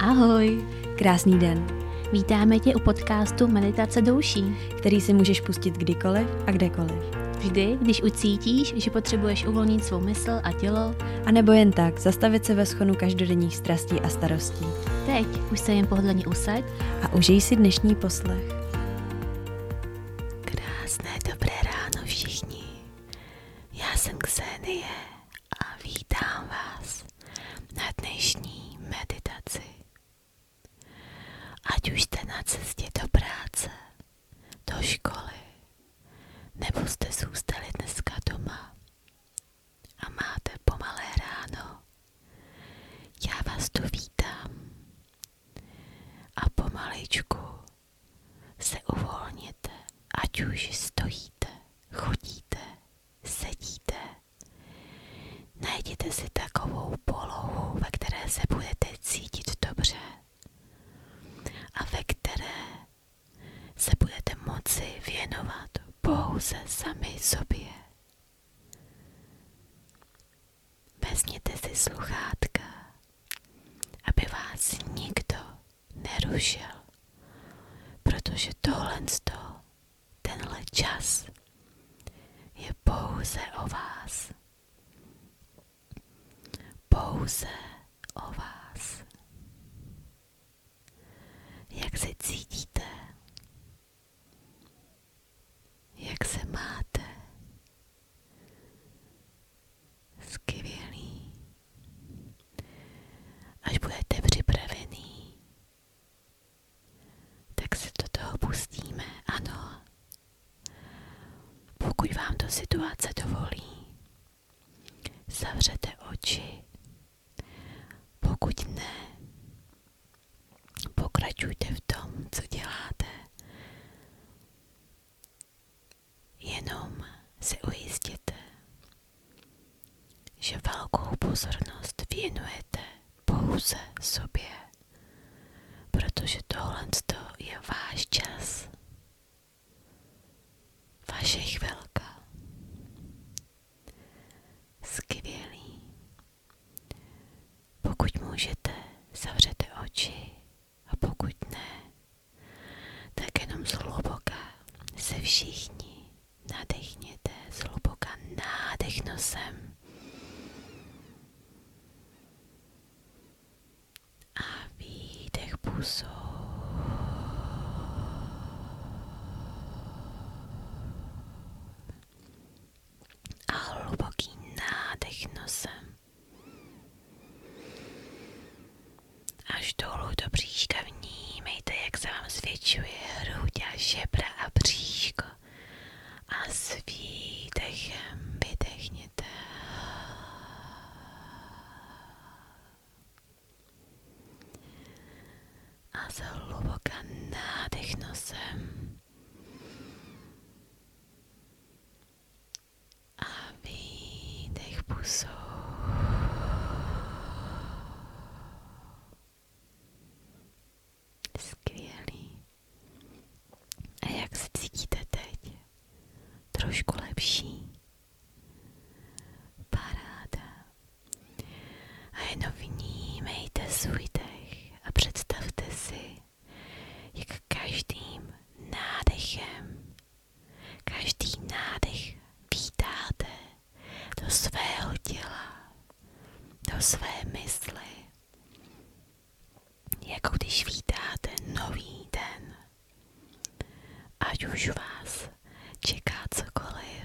Ahoj! Krásný den! Vítáme tě u podcastu Meditace douší, který si můžeš pustit kdykoliv a kdekoliv. Vždy, když ucítíš, že potřebuješ uvolnit svou mysl a tělo, a nebo jen tak zastavit se ve schonu každodenních strastí a starostí. Teď už se jen pohodlně usaď a užij si dnešní poslech. Krásné dobré ráno všichni. Já jsem Ksenie a vítám vás na dnešní meditaci. Ať už jste na cestě do práce, do školy, nebo jste zůstali dneska doma a máte pomalé ráno, já vás tu vítám a pomaličku se uvolněte, ať už stojíte, chodíte, sedíte. Najděte si takovou polohu, ve které se budete cítit dobře a ve které se budete moci věnovat pouze sami sobě. Vezměte si sluchátka, aby vás nikdo nerušil. Protože tohle z toho, tenhle čas je pouze o vás. Pouze o vás. Jak se cítíte? Jak se máte? Skvělý. Až budete připravený, tak se do pustíme, ano. Pokud vám to situace dovolí, zavřete oči. Pokud ne, pokračujte v tom, co děláte. Jenom se ujistěte, že velkou pozornost věnujete pouze sobě, protože tohle je váš čas, vaše chvilka. Skvělý. Pokud můžete, zavřete oči a pokud ne, tak jenom zhluboka se všichni nadechněte, zhluboka nádech nosem a výdech pusou. A hluboký nádech Až dolů do bříška vnímejte, jak se vám zvětšuje hruď a žebra a bříško. A s výdechem vydechněte. A zhluboka nádech nosem a výdech pusou. Skvělý. A jak se cítíte teď? Trošku lepší? Paráda. A jenom vnímejte svůj dech a představte si, jak každým nádechem, každý nádech vítáte do svého těla, do své mysli, jako když vítáte nový den. Ať už vás čeká cokoliv,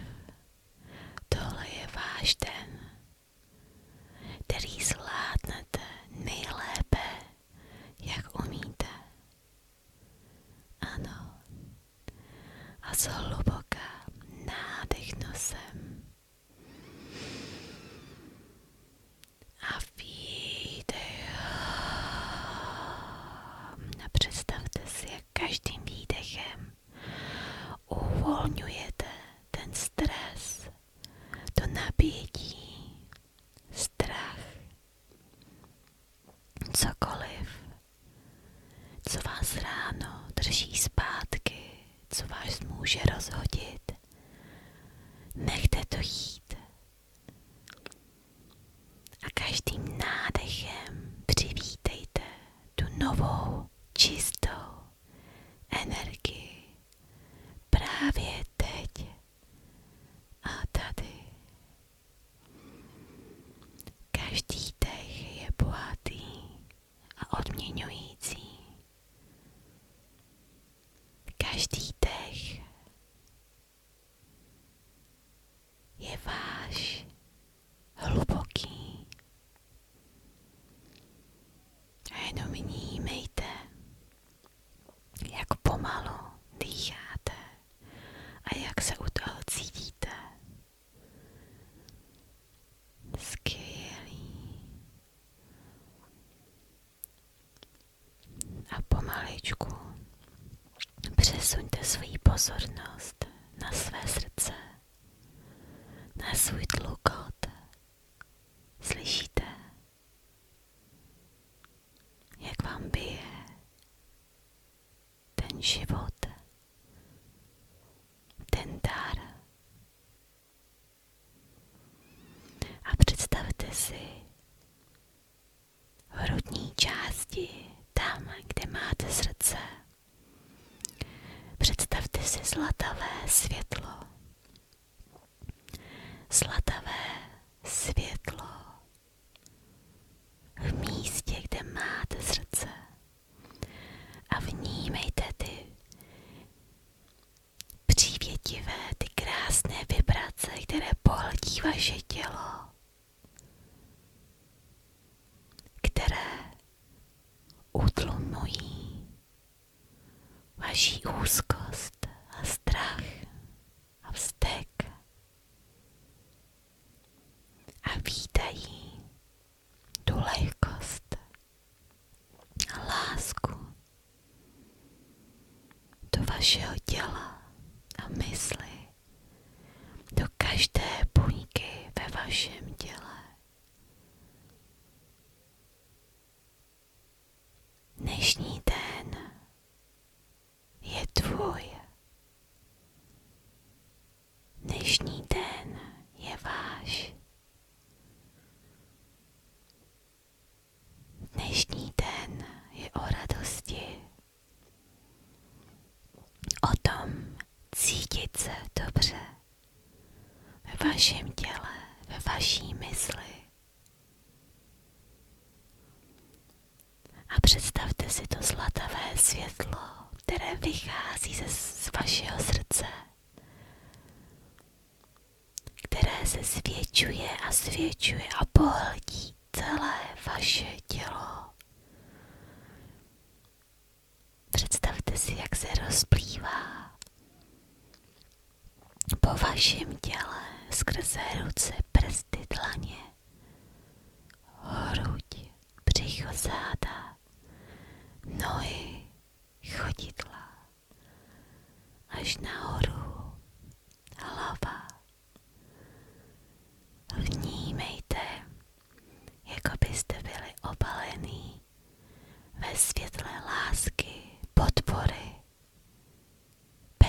tohle je váš den, který zvládnete nejlépe jak umíte. Ano. A zhluboka nádech nosem. A výdech. A představte si, jak každým výdechem uvolňujete ten stres to napětí, strach, cokoliv, co vás ráno drží zpátky, co vás může rozhodit. Nechte to jít. A každým nádechem přivítejte tu novou, čistou energii. Právě teď a tady. Každý dech je bohatý a odměňující. Každý dech je váš hluboký. A jenom vnímejte, jak pomalu dýcháte a jak se u toho cítíte. Skvělý. A pomaličku přesuňte svoji pozornost na své srdce, na svůj tlukot, Slyšíte, jak vám bije ten život, ten dar. A představte si v hrudní části, tam, kde máte srdce. Představte si zlatavé světlo Zlatavé světlo v místě, kde máte srdce a vnímejte ty přívětivé, ty krásné vibrace, které pohltí vaše tělo, které utlumují vaší úzkost a strach a vztek a vítají tu lehkost a lásku do vašeho těla a mysli, do každé buňky ve vašem těle. Dnešní den je tvůj. Dnešní den je váš. Dnešní den je o radosti, o tom cítit se dobře ve vašem těle, ve vaší mysli. A představte si to zlatavé světlo, které vychází ze, z vašeho srdce, které se svědčuje a svědčuje a pohledí celé vaše tělo. Představte si, jak se rozplývá po vašem těle skrze ruce, prsty, dlaně, hruď, břicho, záda, nohy, chodidla, až nahoru, hlava. Vnímejte, jako byste byli obalený ve světle lásky, podpory,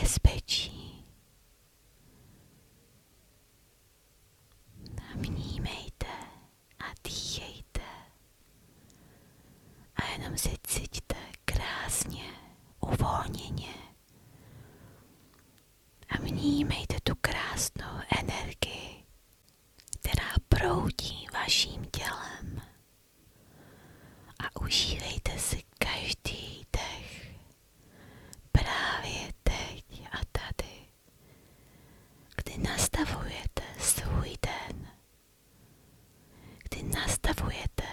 bezpečí. Vnímejte a dýchejte a jenom se cítíte krásně, uvolněně a vnímejte tu krásnou energii která proudí vaším tělem a užívejte si každý dech právě teď a tady, kdy nastavujete svůj den, kdy nastavujete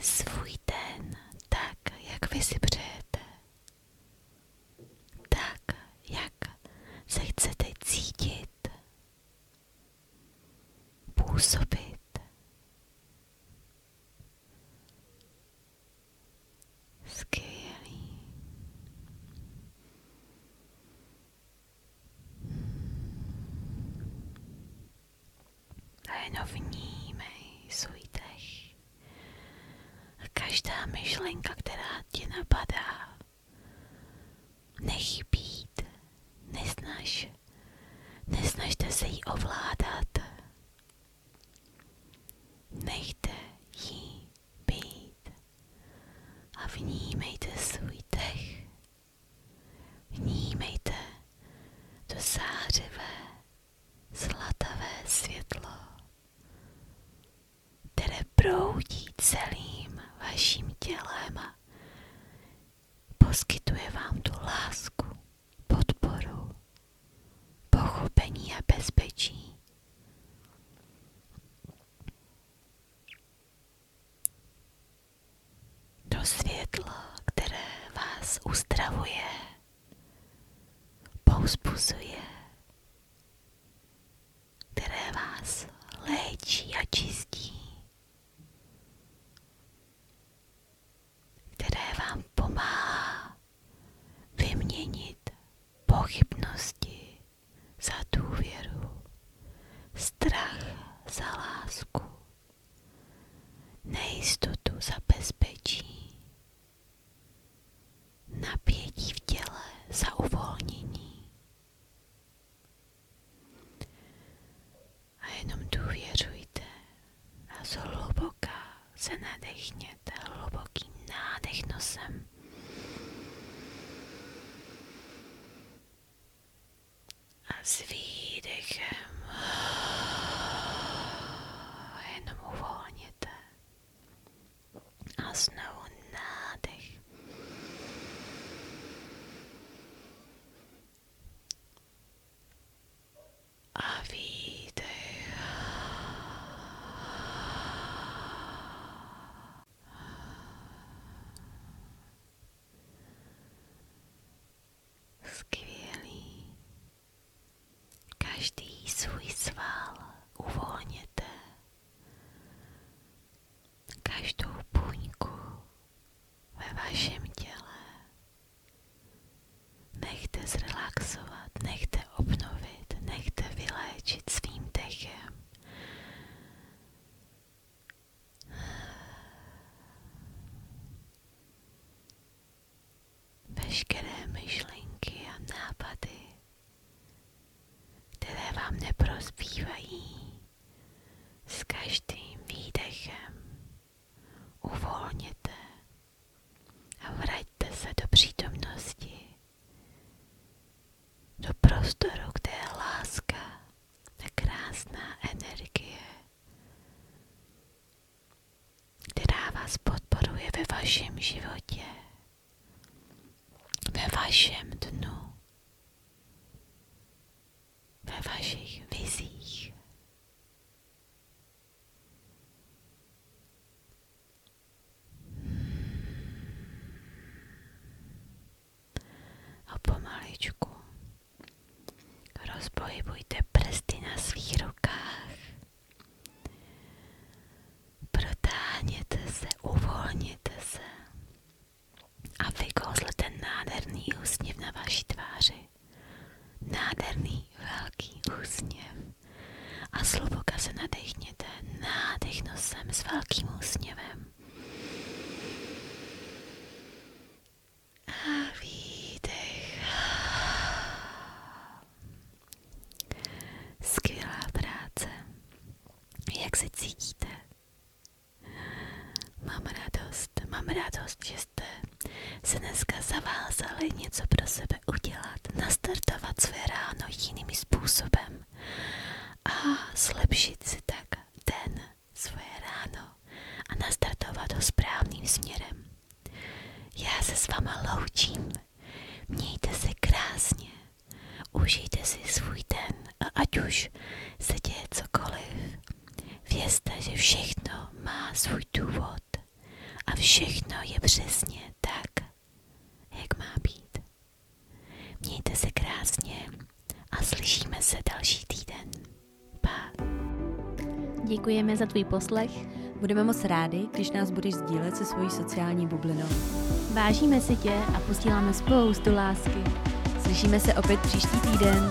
svůj den tak, jak vy si přejete tak, jak se chcete cítit, působit. Skvělý. A jenom vnímej svůj dech každá myšlenka, která ti napadá. Nech být, nesnaž, nesnažte se jí ovládat. Nechte ji být a vnímejte svůj dech. Vnímejte to zářivé, zlatavé světlo které proudí celým vaším tělem a poskytuje vám tu lásku, podporu, pochopení a bezpečí. To světlo, které vás uzdravuje, pouzbuzuje, které vás léčí a čistí, které vám pomáhá vyměnit pochybnosti za důvěru, strach za lásku, nejistotu za bezpečí napětí v těle za uvolnění. A jenom důvěřujte a hluboka se nadechněte hlubokým nádech nosem. A s výdechem jenom uvolněte a znovu nádech. A výdech. Skvělý. Každý svůj sval uvolněte, každou půňku ve vašem těle. Nechte zrelaxovat, nechte obnovit, nechte vyléčit svým dechem veškeré myšlenky a nápady, které vám neprospívají, s každým výdechem uvolněte a vraťte se do přítomnosti, do prostoru, kde je láska, ta krásná energie která vás podporuje ve vašem životě, ve vašem dnu, ve vašich vizích. A pomaličku rozpohybujte prsty na svých rukách. Protáhněte se, uvolněte se a vykouzle ten nádherný úsměv na vaší tváři. Nádherný velký úsměv. A zhluboka se nadechněte. Nádech nosem s velkým úsměvem. A výdech. Skvělá práce. Jak se cítíte? Mám radost, mám radost, že jste se dneska zavázali něco pro sebe udělat, nastartovat své ráno jiným způsobem a zlepšit si tak den svoje ráno a nastartovat ho správným směrem. Já se s váma loučím. Mějte se krásně. Užijte si svůj den a ať už se děje cokoliv. Vězte, že všechno má svůj důvod a všechno je přesně tak, jak má být. Mějte se krásně a slyšíme se další týden. Pa. Děkujeme za tvůj poslech Budeme moc rádi, když nás budeš sdílet se svojí sociální bublinou. Vážíme si tě a posíláme spoustu lásky. Slyšíme se opět příští týden.